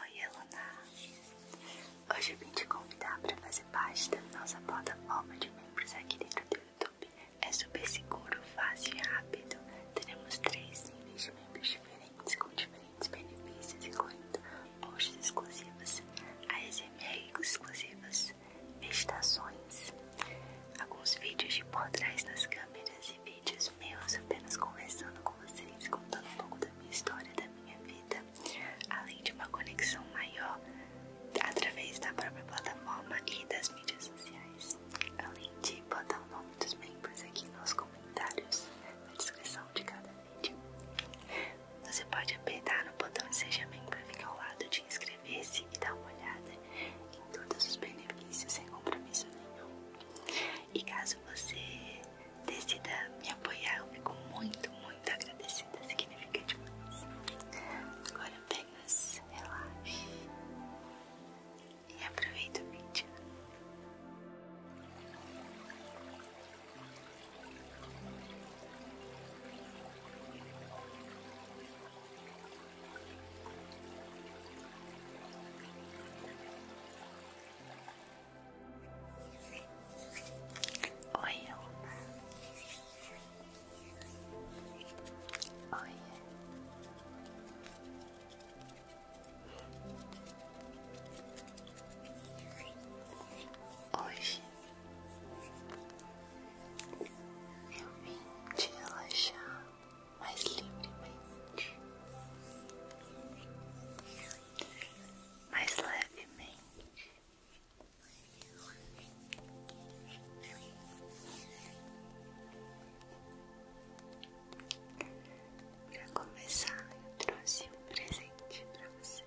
Oi, Eluna! Hoje eu vim te convidar para fazer parte da nossa plataforma de membros aqui dentro do YouTube. É super seguro, fácil e rápido. Teremos três níveis de membros diferentes com diferentes benefícios, incluindo posts exclusivos, ASMR exclusivas, meditações, alguns vídeos de por trás nas câmeras e vídeos meus apenas conversando com vocês, contando um pouco da minha história, da minha vida, além de uma conexão maior através da própria plataforma e das mídias sociais, além de botar o nome dos membros aqui nos comentários, na descrição de cada vídeo. Você pode apertar no botão Seja Membro e ficar ao lado de inscrever-se e dar uma olhada em todos os benefícios sem compromisso nenhum. E caso você decida me apoiar, eu fico muito, muito agradecida. Significa demais. Agora apenas relaxe e aproveita o vídeo. Oi, Oi. Hoje eu vim te relaxar mais livremente mais levemente. Para começar, eu trouxe um presente para você.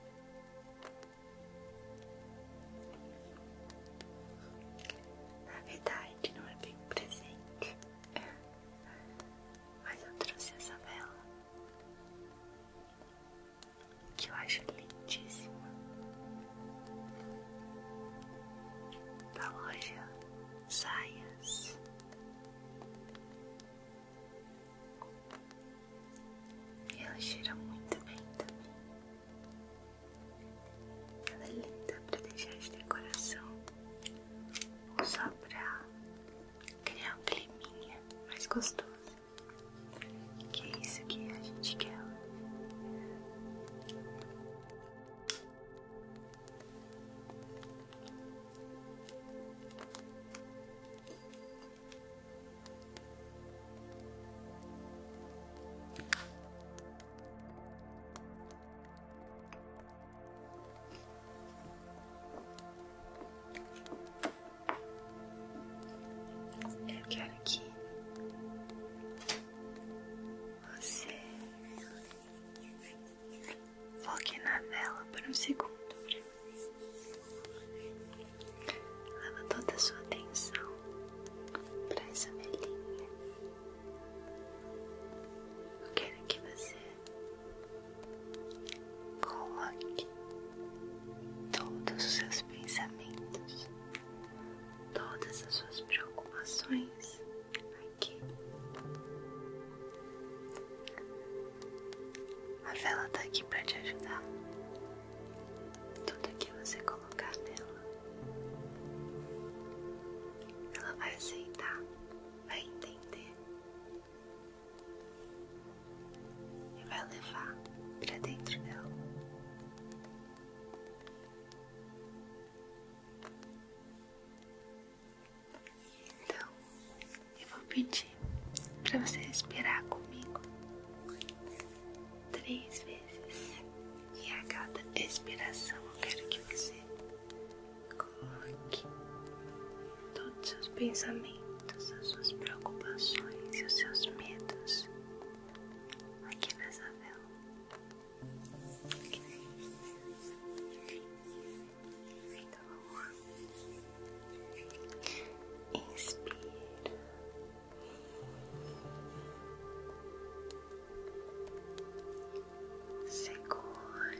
Na verdade, não é bem um presente. Mas eu trouxe essa vela que eu acho lindíssima da tá loja Saias. E ela cheira muito bem também. Ela é linda pra deixar de decoração ou só pra criar um climinha mais gostoso. Que é isso que a gente quer. Eu quero que você foque na vela por um segundo. Leva toda a sua atenção para essa velhinha. Eu quero que você Coloque todos os seus pensamentos, todas as suas preocupações aqui. A vela está aqui para te ajudar. Tudo que você colocar nela, ela vai aceitar, vai entender e vai levar para dentro dela. Então, eu vou pedir para você respirar comigo três vezes, e a cada respiração eu quero que você Coloque todos os seus pensamentos, as suas preocupações e os seus medos aqui nessa vela. Então tá vamos Inspira. Segura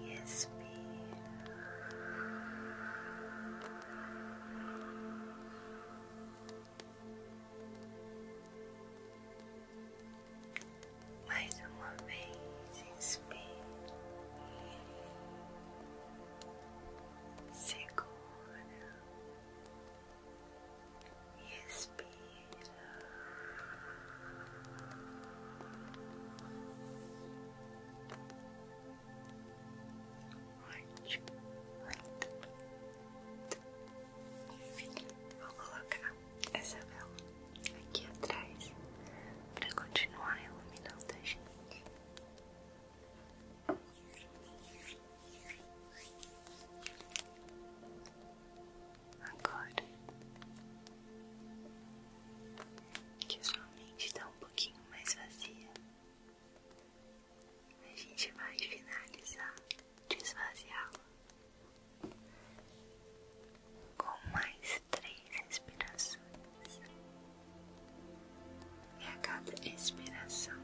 e expira. Mais uma vez, inspira, segura e expira. Ótimo, muito, Vou colocar essa vela aqui atrás para continuar iluminando a gente agora que a sua mente está um pouquinho mais vazia, a gente vai finalizar desvaziá-la com mais três respirações. E a cada respiração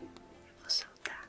eu vou soltar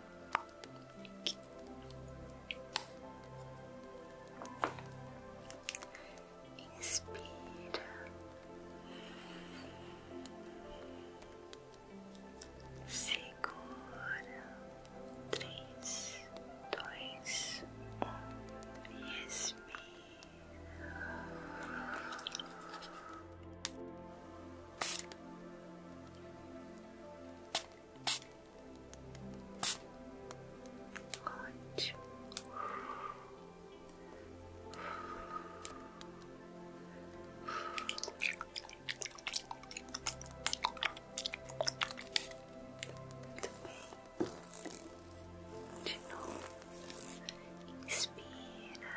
Inspira. Segura. Três, dois, um. E expira. Ótimo. Muito bem. De novo. Inspira.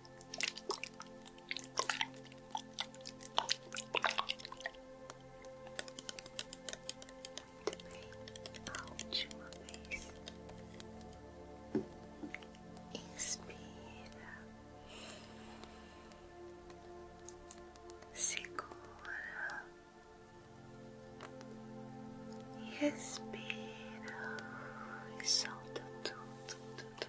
Muito bem, última vez. Inspira, segura e respira e solta tudo, tudo,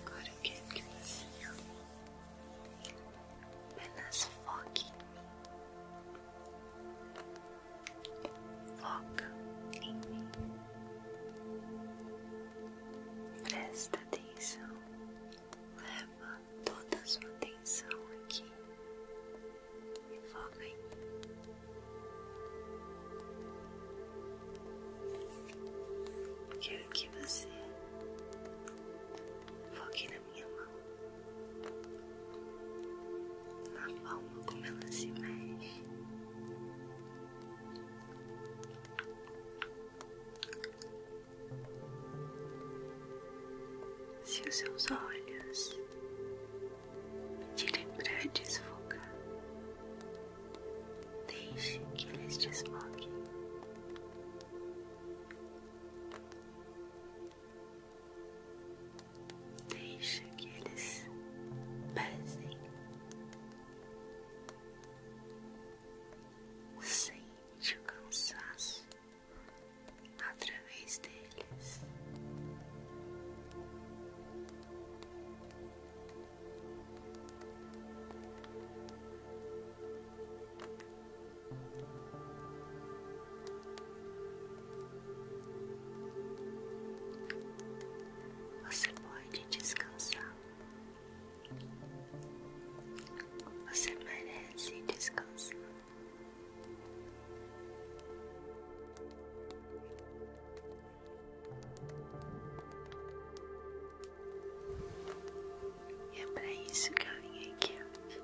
Agora que você apenas foque em mim. Foca em mim. Presta atenção Leva toda a sua atenção aqui e foca em mim. Quero que você foque na minha mão, na palma como ela se mexe. Se os seus olhos pedirem para desfocar, deixe que eles desfoguem. Deixe que eles pesem. Sente o cansaço através deles. Você pode descansar. Você merece descansar. E é para isso que eu vim aqui hoje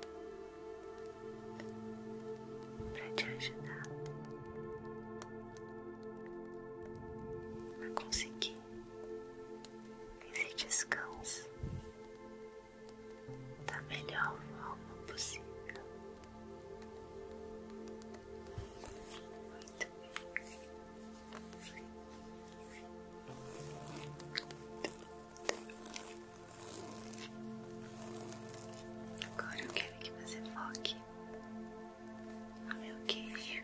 pra te ajudar a conseguir esse descanso da melhor forma possível. Agora eu quero que você foque no meu queixo.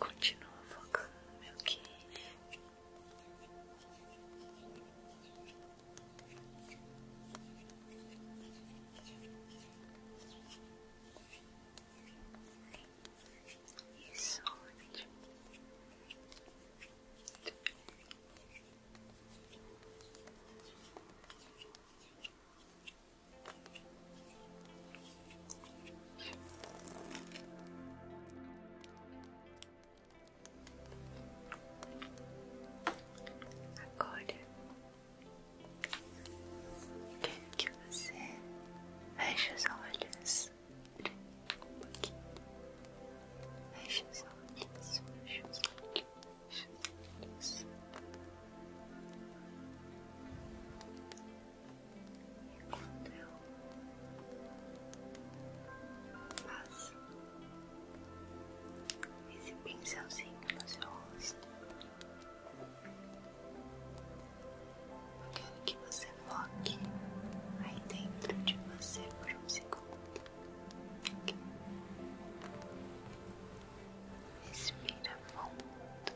Continua focando meu queixo. Isso, Agora que você feche os olhos um os olhos, feche os olhos isso. E quando eu passo esse pincelzinho no seu rosto, eu quero que você foque aí dentro de você por um segundo. Respira fundo.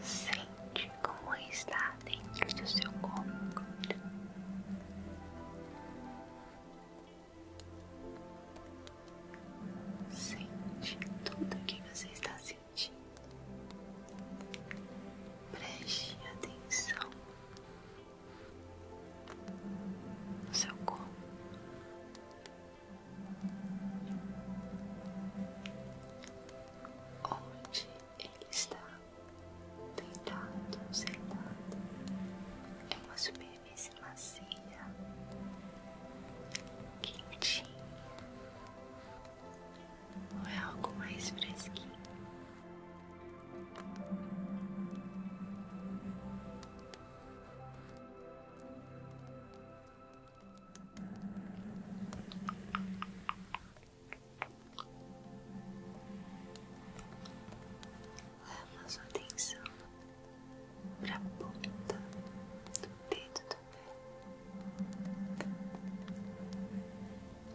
Sente como está dentro do seu corpo. Sente tudo o que você está sentindo. Preste atenção seu corpo. Onde ele está deitado, sentado, é uma superfície macia, quentinha, ou é algo mais fresquinho. Leva sua atenção para a ponta do dedo do pé.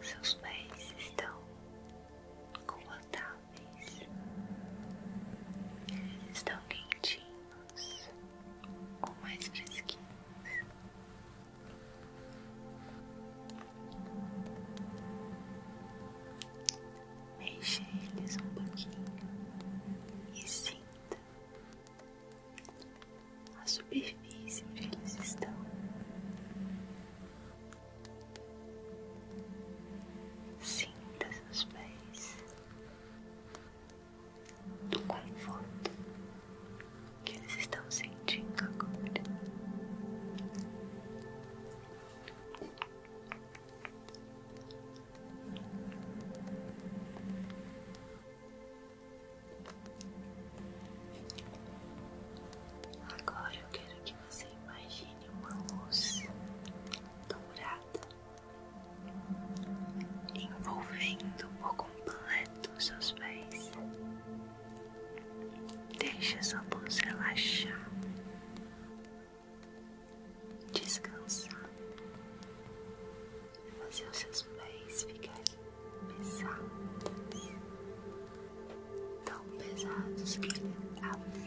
Seus pés estão com o móveis estão quentinhos ou mais fresquinhos. Mexe eles um pouquinho e sinta a superfície onde eles estão. Sinta seus pés do conforto que eles estão sentindo agora. Agora eu quero que você imagine uma luz dourada envolvendo por completo seus pés. Deixa sua luz relaxar, descansar, fazer os seus pés ficarem pesados, tão pesados que ele afunda.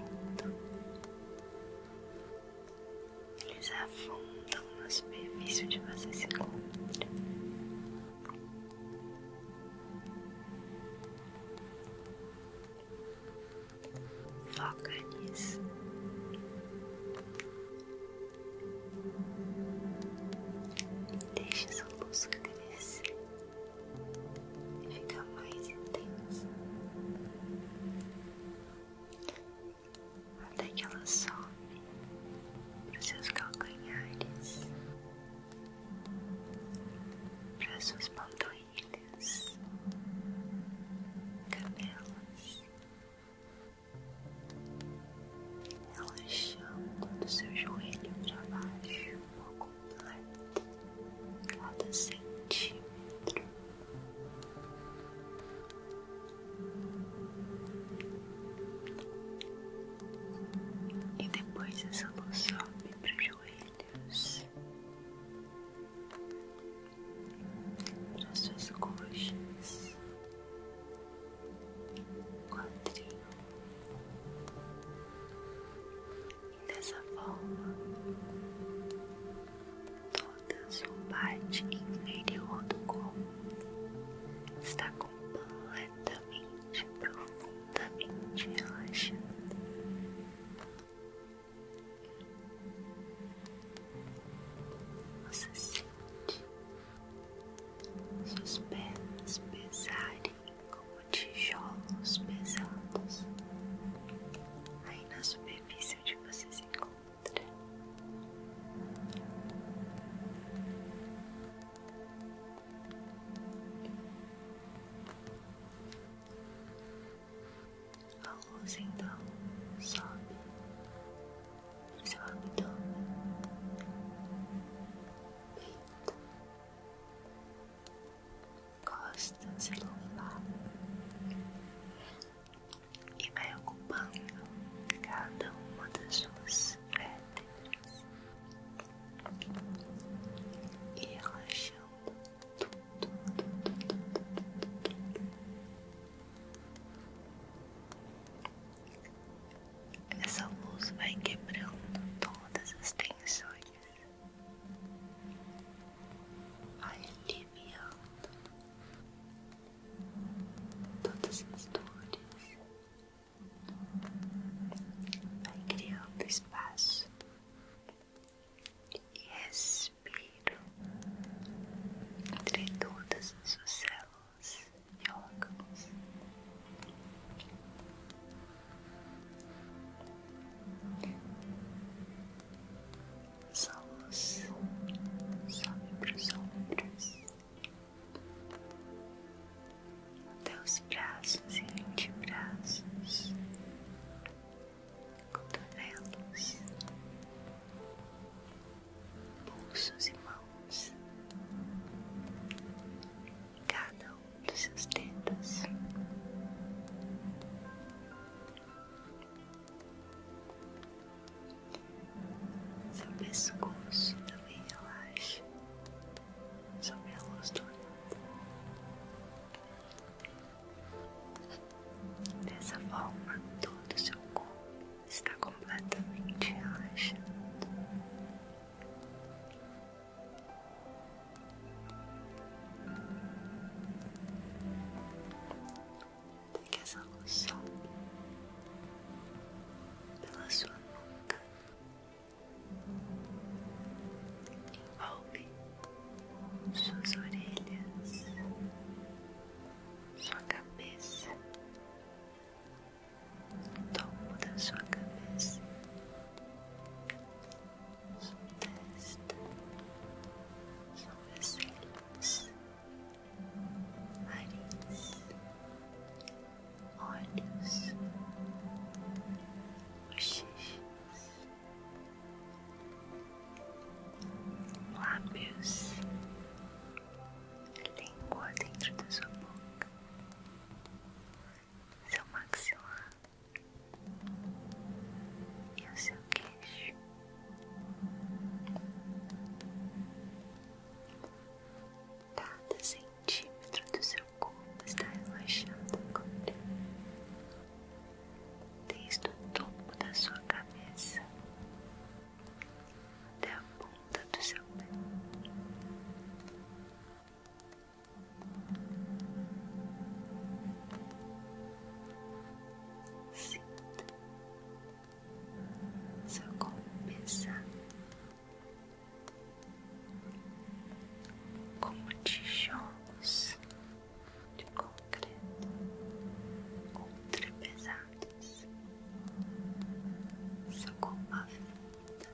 Eles afundam na superfície de você se Foca nisso. Deixa essa busca crescer e ficar mais intenso até que ela sobe para seus calcanhares, para suas panturrilhas, cabelos, relaxando do seu joelho para baixo por completo cada centímetro. E depois essa luz sobe para os joelhos, para suas coxas, quadril, Dessa forma, toda sua parte inferior do corpo está completamente, profundamente relaxada. Você sente suas pernas pesarem como tijolos pesados aí na superfície superfície de você se encontra. A luz então sobe seu abdômen, peito, costas e lombar e vai ocupando cada uma das suas vértebras e relaxando tudo. Essa luz vai quebrando todas as tensões vai aliviando todas as dores, vai criando espaço e respiro entre todas as suas células e órgãos. Sua luz sobe para os ombros, até os braços e braços, cotovelos, pulsos e mãos, cada um dos seus dedos. Seu pescoço também relaxa sob a luz do mundo. Dessa forma, todo o seu corpo está completamente relaxado. Pegue essa loção pela sua nuca, envolve suas orelhas, sua cabeça, o topo da sua cabeça, sua testa, sua sobrancelha olhos, nariz, olhos, bochechas, lábios, língua dentro da sua boca, seu maxilar e o seu queixo. Cada centímetro do seu corpo está relaxado agora, desde o topo da sua cabeça até a ponta do seu pé. Sinta só com pensar como tijolos de concreto contrapesados, só com uma vida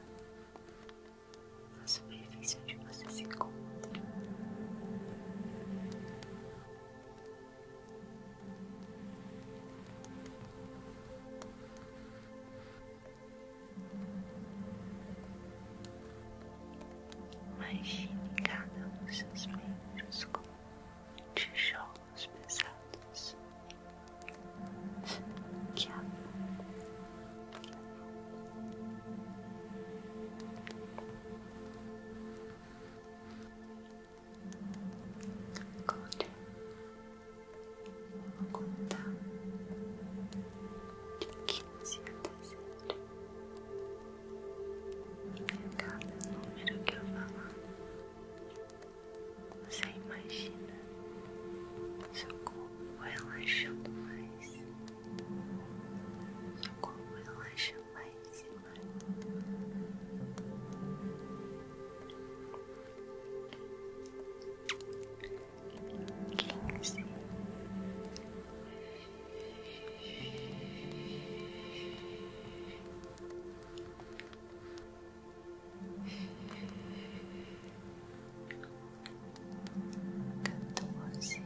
na superfície onde você se encontra. Imagine cada um dos seus membros como tijolos pesados que a Agora vou contar o que você vai cada número que eu falar, você imagina seu corpo relaxando mais, seu corpo relaxando mais e mais. Quinze. Quatorze,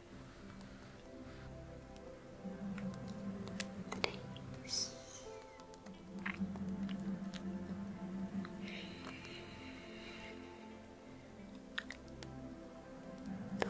the days. The ways. All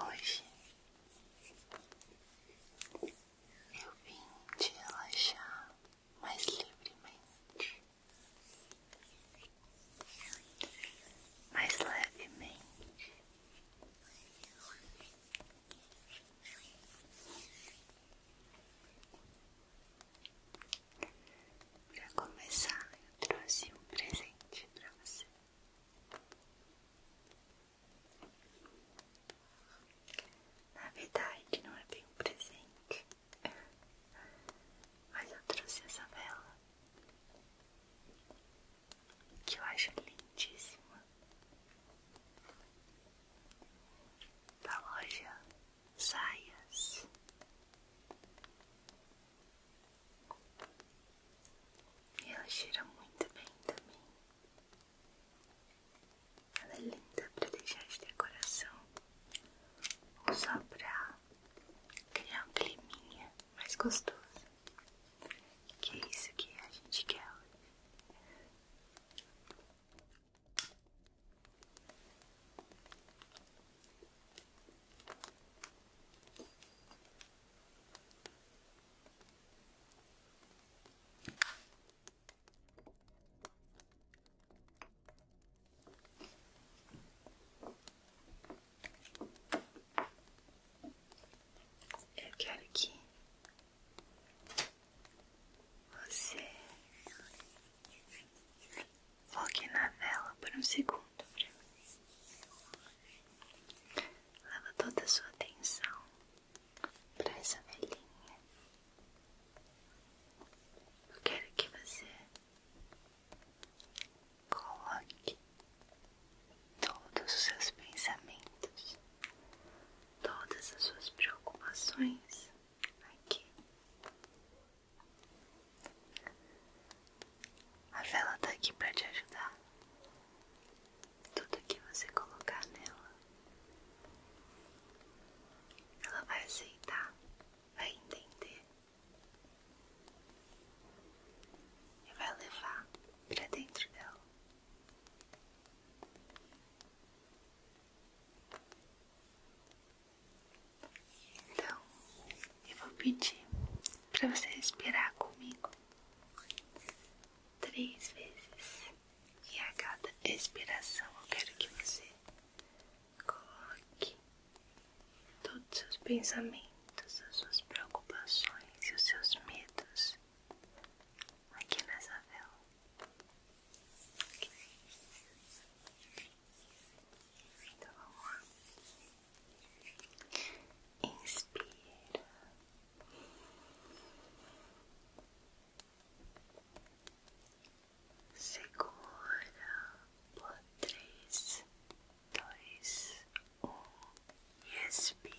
Hoje eu vim te relaxar mais livremente, mais levemente. Para começar, né, eu trouxe um presente para você. Na verdade, não é bem um presente, mas eu trouxe essa vela que eu acho lindíssima da loja Saias. E ela cheira muito bem também. Ela é linda para deixar de decoração ou só pra criar um climinha mais gostoso. Que é isso que a gente quer hoje. Eu quero que você Foque na vela por um segundo para mim. Leva toda a sua atenção para essa velhinha. Eu quero que você coloque todos os seus pensamentos, todas as suas preocupações aqui a vela está aqui para te ajudar. Tudo que você colocar nela, ela vai aceitar, vai entender e vai levar para dentro dela. Então, eu vou pedir para você respirar comigo três vezes. E a cada respiração eu quero que você coloque todos os seus pensamentos, as suas preocupações e os seus medos aqui nessa vela. Então vamos lá. Inspira. Segura por três, dois, um e expira.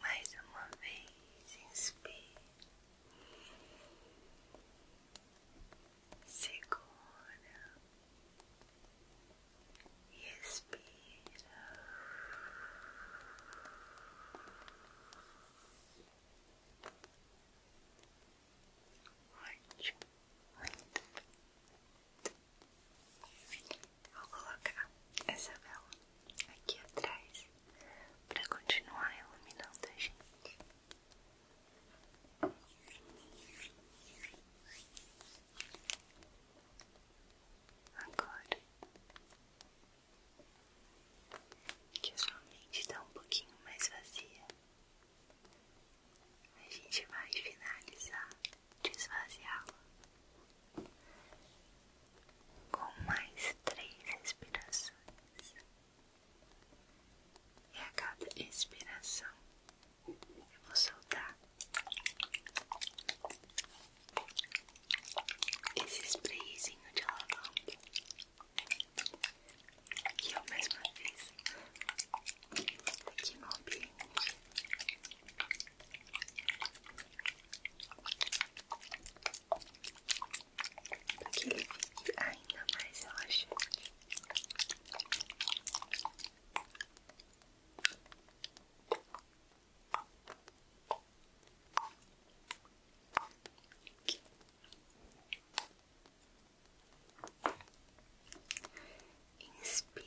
mais uma vez, inspire, segura e expira. Ótimo, muito. Vou colocar essa vela aqui atrás para continuar iluminando a gente. Agora que a sua mente está um pouquinho mais vazia, a gente vai finalizar, desvaziá-la com mais três respirações, e a cada expiração eu vou soltar esse sprayzinho de lavanda que eu mesma fiz aqui no ambiente para que ele fique ainda mais relaxante. Inspira.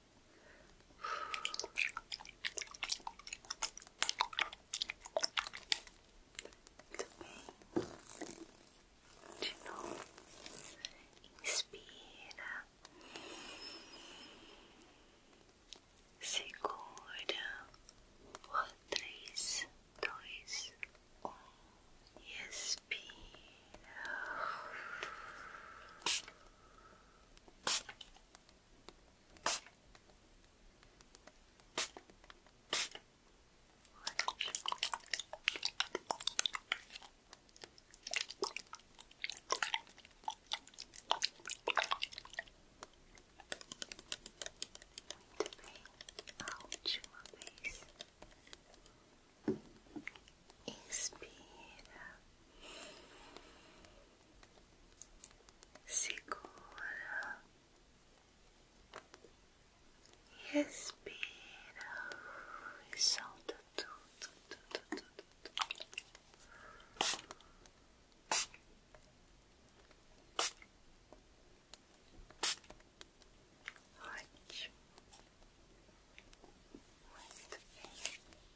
Muito bem. De novo. Inspira. Segura três, dois, um e expira muito bem, a última vez. Inspira segura e respira e solta tudo, tudo, tudo, tudo. Ótimo. Muito bem.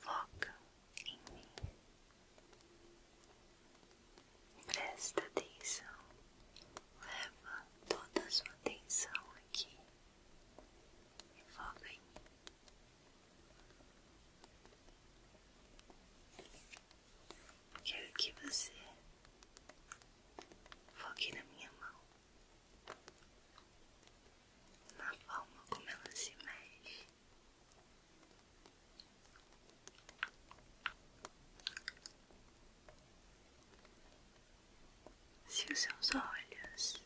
Foca em mim. Presta atenção. Leva toda a sua atenção aqui. E foca em mim. Quero que você foque na minha mão na forma como ela se mexe. Se os seus olhos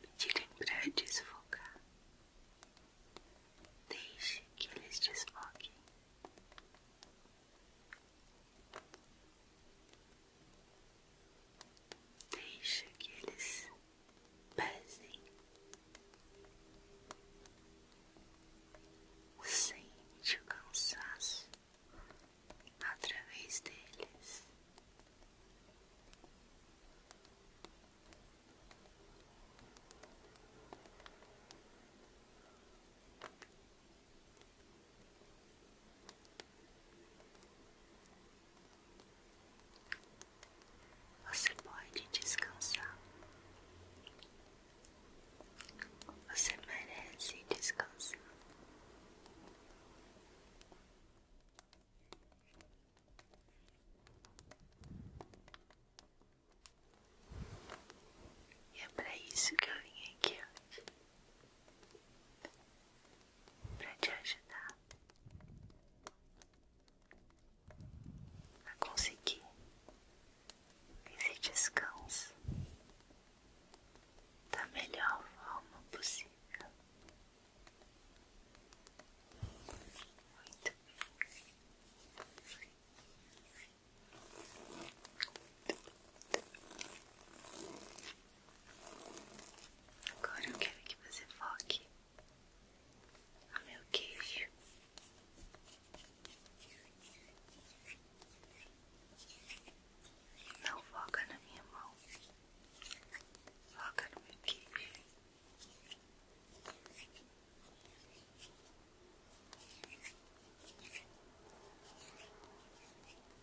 pedirem para desfocar, deixe que eles desfoquem. Deixa que eles pesem. Sente o cansaço através deles. Você pode descansar. Você merece descansar. E é para isso que eu vim aqui para te ajudar a conseguir esse descanso da melhor forma possível. Muito bem. Agora eu quero que você foque no meu queijo. Não foca na minha mão. Foca no meu queijo.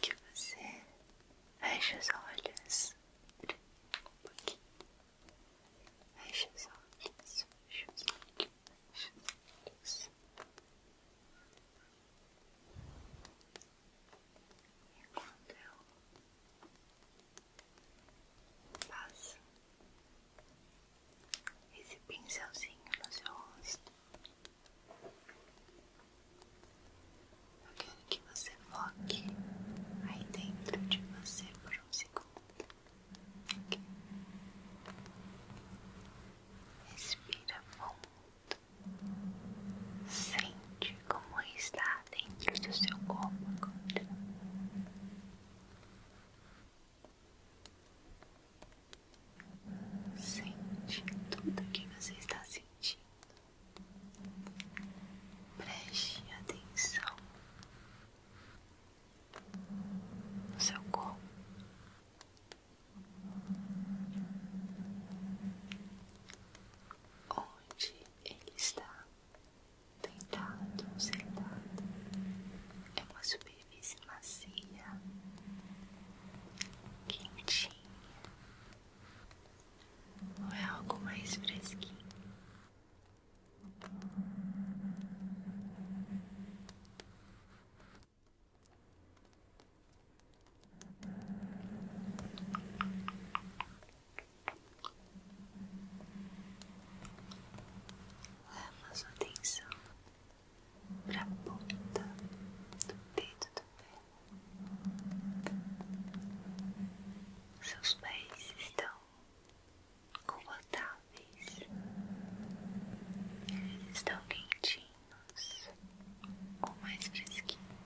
que você feche os olhos um pouquinho. Feche os olhos, e quando eu passo esse pincelzinho no seu rosto. Eu quero que você foque aí dentro de você por um segundo. Okay. Respira fundo. Sente como está dentro do seu corpo agora. Sente tudo o que você está sentindo. Preste atenção no seu corpo. Onde ele está, tentado, sentado, é uma subida superfície macia, quentinha, ou é algo mais fresquinho? Leva sua atenção para ponta do dedo do pé. Seus pés estão confortáveis, eles estão quentinhos ou mais fresquinhos.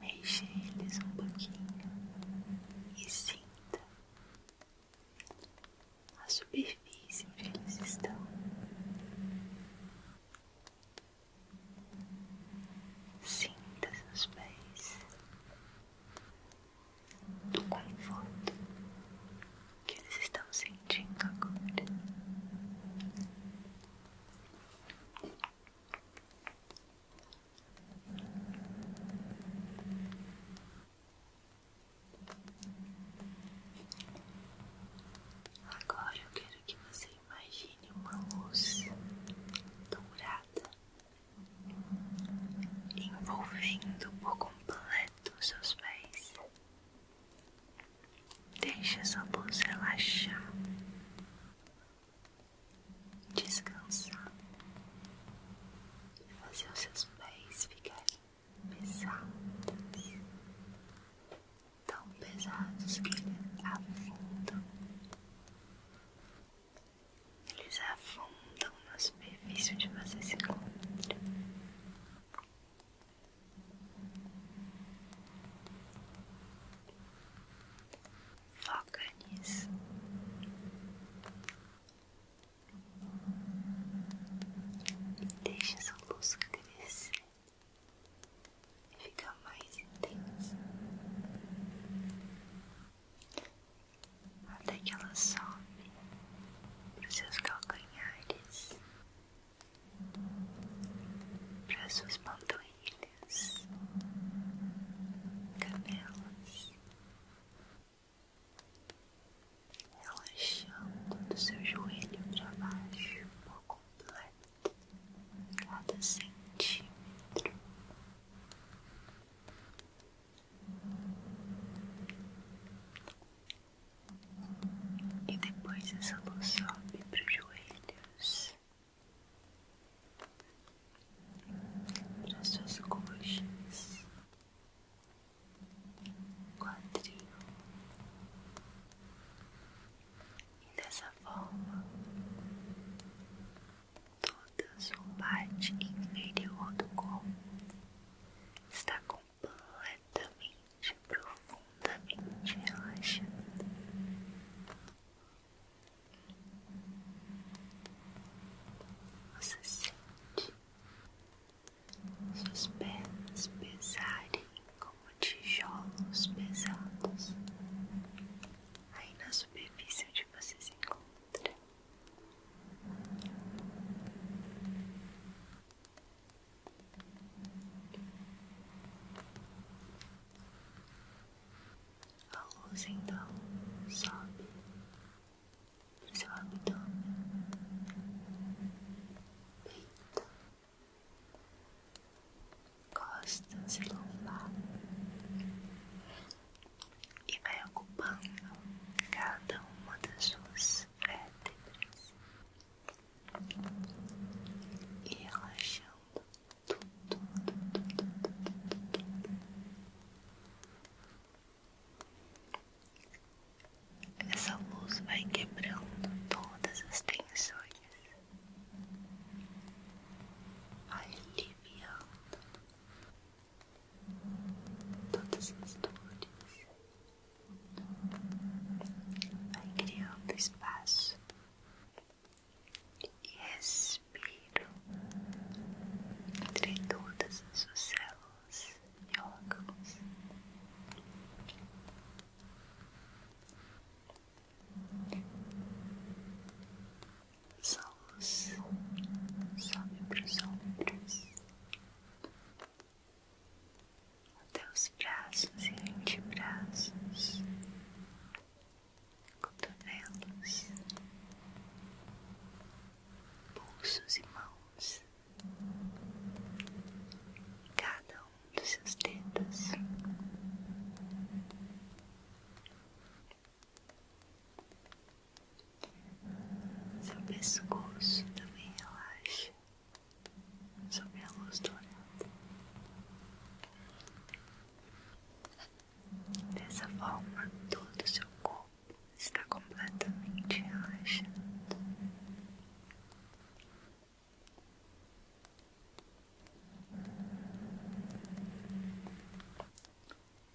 Mexe eles um pouquinho e sinta a superfície onde eles estão. Sinta seus pés do conforto que eles estão sentindo agora. Agora eu quero que você imagine uma luz dourada envolvendo por completo os seus pés. Deixa essa luz relaxar descansar e fazer os seus pés ficarem pesados, tão pesados que eles afundam. Eles afundam na superfície de você se encontra. Foca nisso. Deixa essa luz crescer e ficar mais intensa até que ela sobe para os seus calcanhares, para as suas panturrilhas orelhas, canelas, relaxando do seu joelho para baixo por completo, cada centímetro. E depois essa luz sobe para os joelhos, para suas coxas, quadril, e dessa forma toda a sua parte inferior do corpo está completamente, profundamente relaxada. Você sente suas pernas pesarem como tijolos pesados aí na superfície onde você se encontra. A luz então sobe para seu abdômen, peito, costa se lombar e vai ocupando cada uma das suas vértebras e relaxando tudo, tudo, tudo, tudo, tudo. Essa luz vai quebrando todas as tensões, vai aliviando todas as dores, vai criando espaço e respiro respiro entre todas as suas células e órgãos. Sua luz sobe para os ombros, até os braços e braços cotovelos, pulsos e mãos, cada um dos seus dedos. Seu pescoço também relaxa sob a luz Dessa forma, todo o seu corpo está completamente relaxado.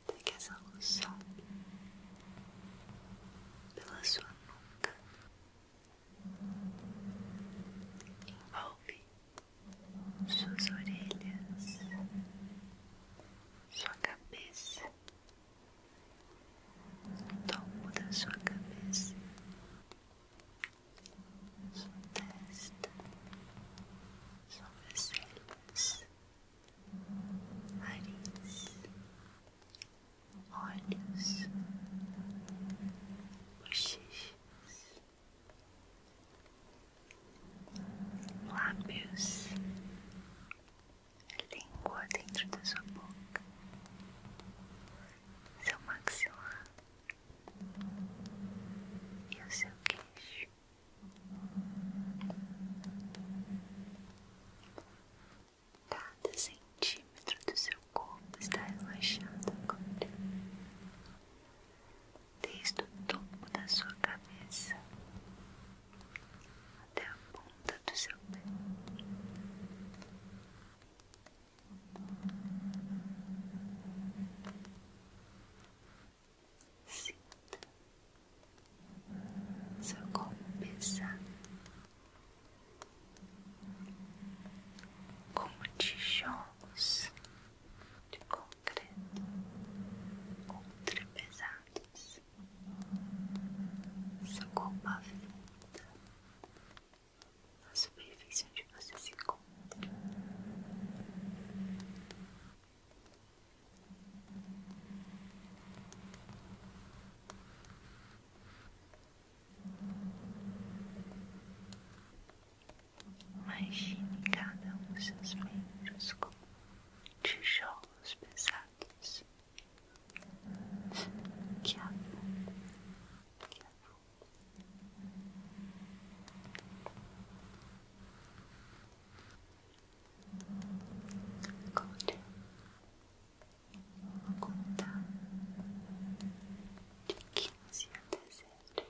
Até que essa luz sobe pela sua nuca, envolve suas orelhas, sua cabeça, o topo da sua cabeça, sua testa, sobrancelhas, nariz, olhos, bochechas, lábios, língua dentro da sua boca, seu maxilar e o seu queixo. Cada centímetro do seu corpo está relaxado agora desde o topo da sua cabeça até a ponta do seu pé. Sinta seu corpo pesado como tijolos de concreto ultra pesado olhares, sua roupa a superfície onde você se encontra. Imagine cada um dos seus membros como um os pesados que afundam, que Agora vou contar de 15 até zero.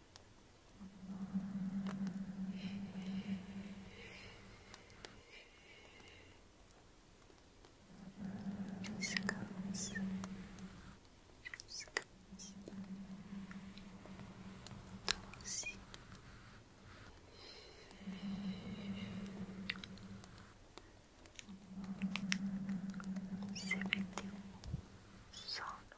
Descansa. Descansa. Doce. Você perdeu só no